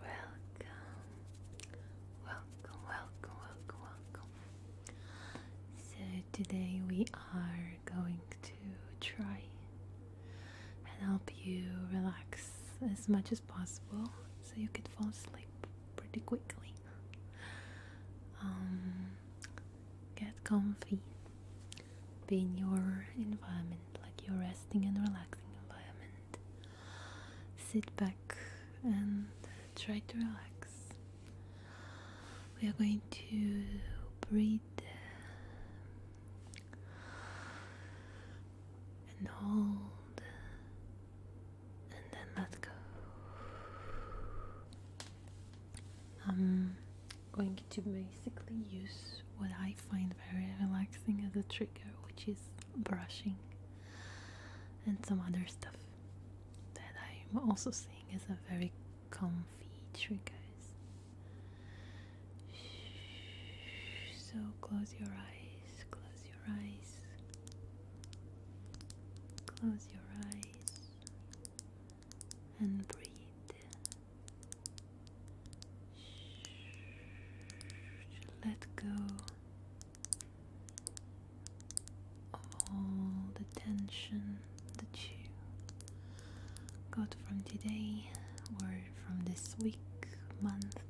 Welcome, welcome, welcome, welcome, welcome. So, today we are going to try and help you relax as much as possible so you can fall asleep pretty quickly. Um, get comfy be in your environment, like your resting and relaxing environment. Sit back and try to relax. We are going to breathe and hold and then let go. Um, going to basically use what I find very relaxing as a trigger, which is brushing and some other stuff that I'm also seeing as a very comfy trigger. So close your eyes, close your eyes, close your eyes, and breathe. Let go of all the tension that you got from today or from this week, month.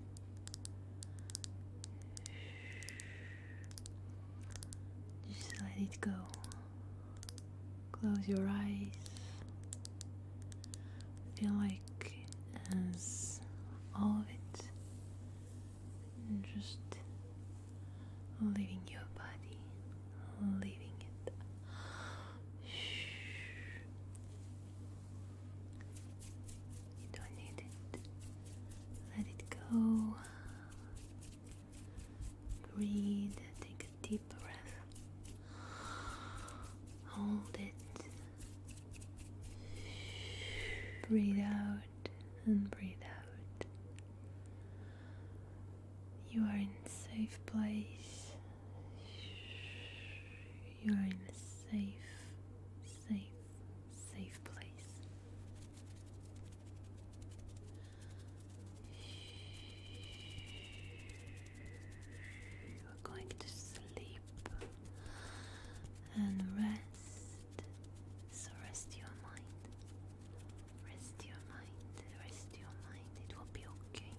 Just let it go. Close your eyes. Feel like as all of it just leaving your body, leaving it. You don't need it. Let it go. Breathe, take deep breath. Hold it. Breathe out and breathe out. You are in safe place. You are in a safe, safe, safe place. We're going to sleep and rest. So rest your mind. Rest your mind. Rest your mind. It will be okay.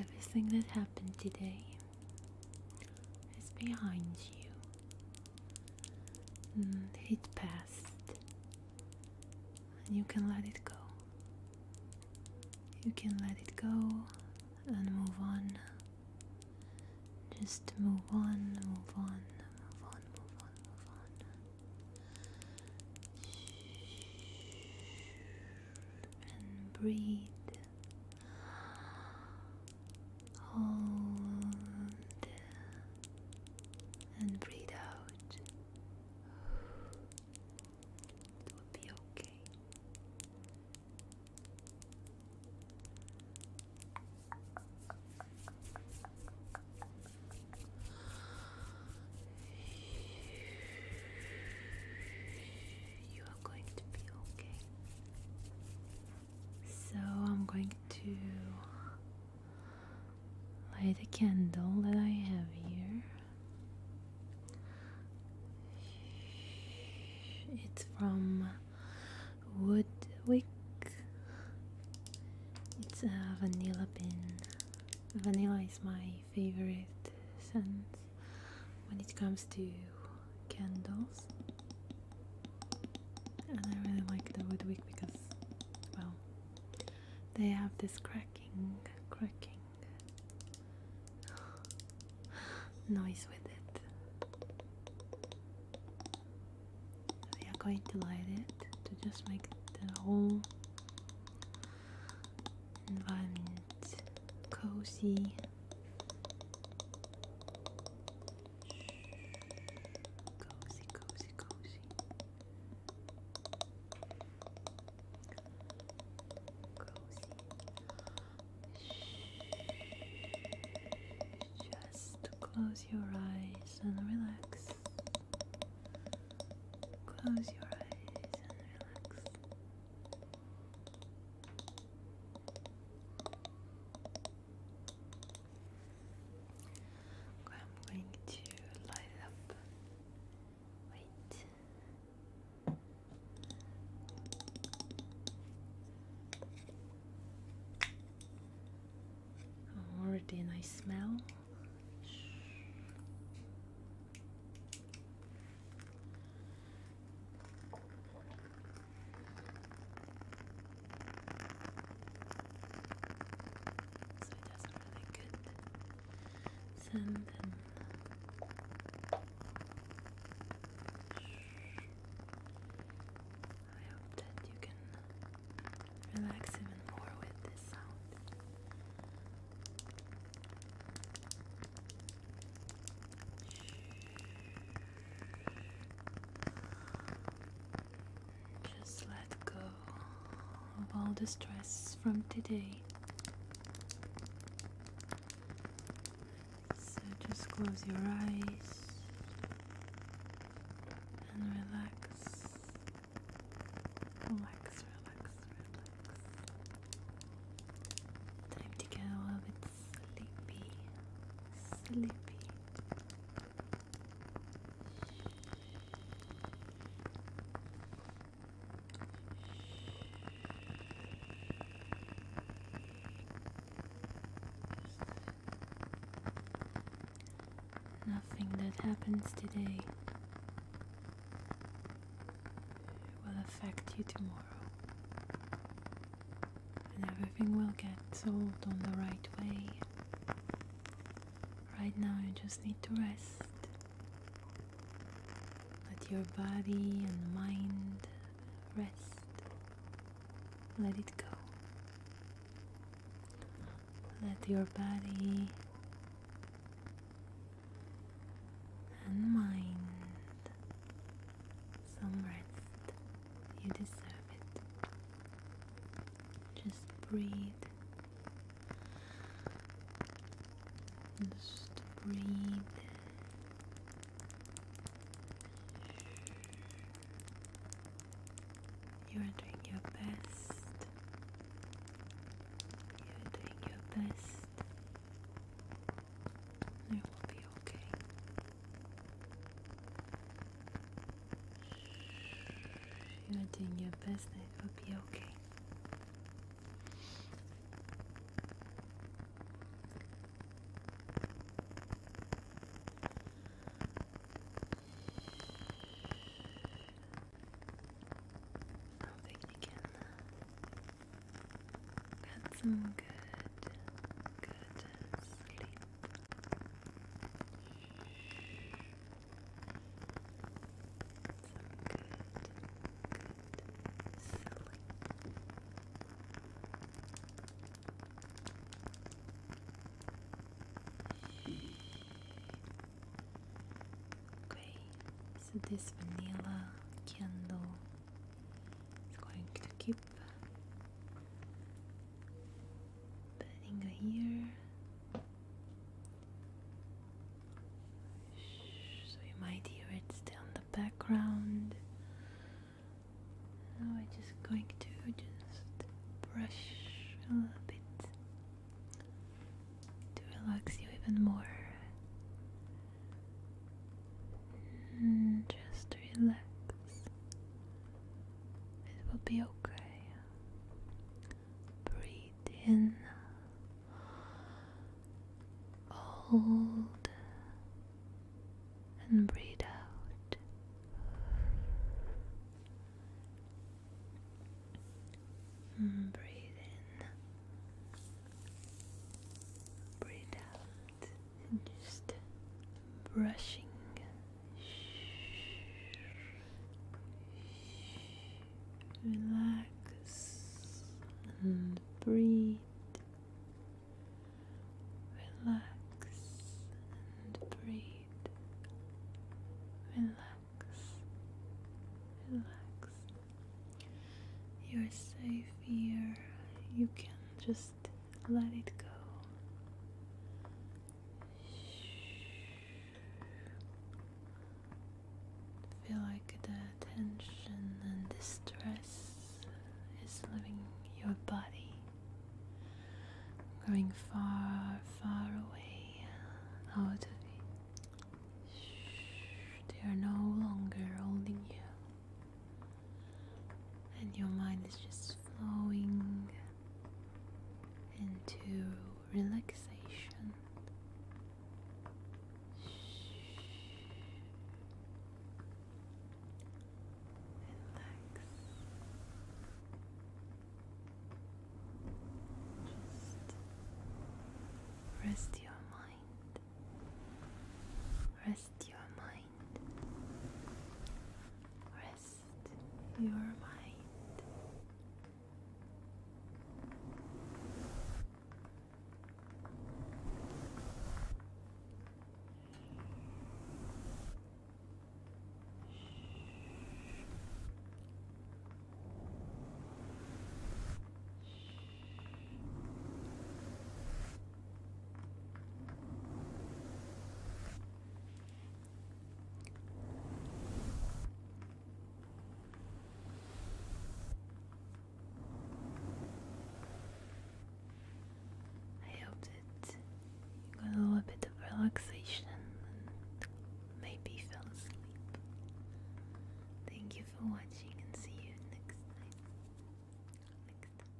Everything that happened today is behind you and it passed and you can let it go you can let it go and move on just move on move on move on move on move on and breathe Hold and breathe out. It will be okay. You are going to be okay. So I'm going to light a candle that I have here. It's from Woodwick. It's a vanilla pin. Vanilla is my favorite scent when it comes to candles. And I really like the Woodwick because, well, they have this cracking, cracking noise with it. We are going to light it to just make the whole environment cozy Cozy, cozy, cozy. Cozy. Just Close your eyes and relax. Close your eyes and relax. I'm going to light up. Wait. Oh, already a nice smell. So it doesn't really good send um, I hope that you can relax even more with this sound. Just let go of all the stress from today. So just close your eyes and relax. Relax, relax, relax. Time to get a little bit sleepy. Sleepy. Nothing that happens today will affect you tomorrow and everything will get solved on the right way. Right now, you just need to rest. Let your body and mind rest. Let it go. Let your body and mind some rest. You deserve it. Just breathe. Just breathe. You are doing your best. You are doing your best. It will be okay. You are doing your best, and it will be okay. I think you can get some good, good sleep. Okay, so this vanilla candle is going to keep Putting it here. So you might hear it still in the background. Now I'm just going to just brush a little bit to relax you even more. just relax. It will be okay. Breathe in. Hold and breathe out. breathe in, breathe out, and just brushing. Relax and breathe. Relax and breathe. Relax. Relax. You're safe here. You can just let it go. Feel like the tension and the is leaving your body, going far, far away out of you. They are no longer holding you, and your mind is just flowing into relaxation. Relax. rest your mind. Rest your mind. Rest your mind. I hope that you got a little bit of relaxation and maybe fell asleep. Thank you for watching and see you next time. Next time.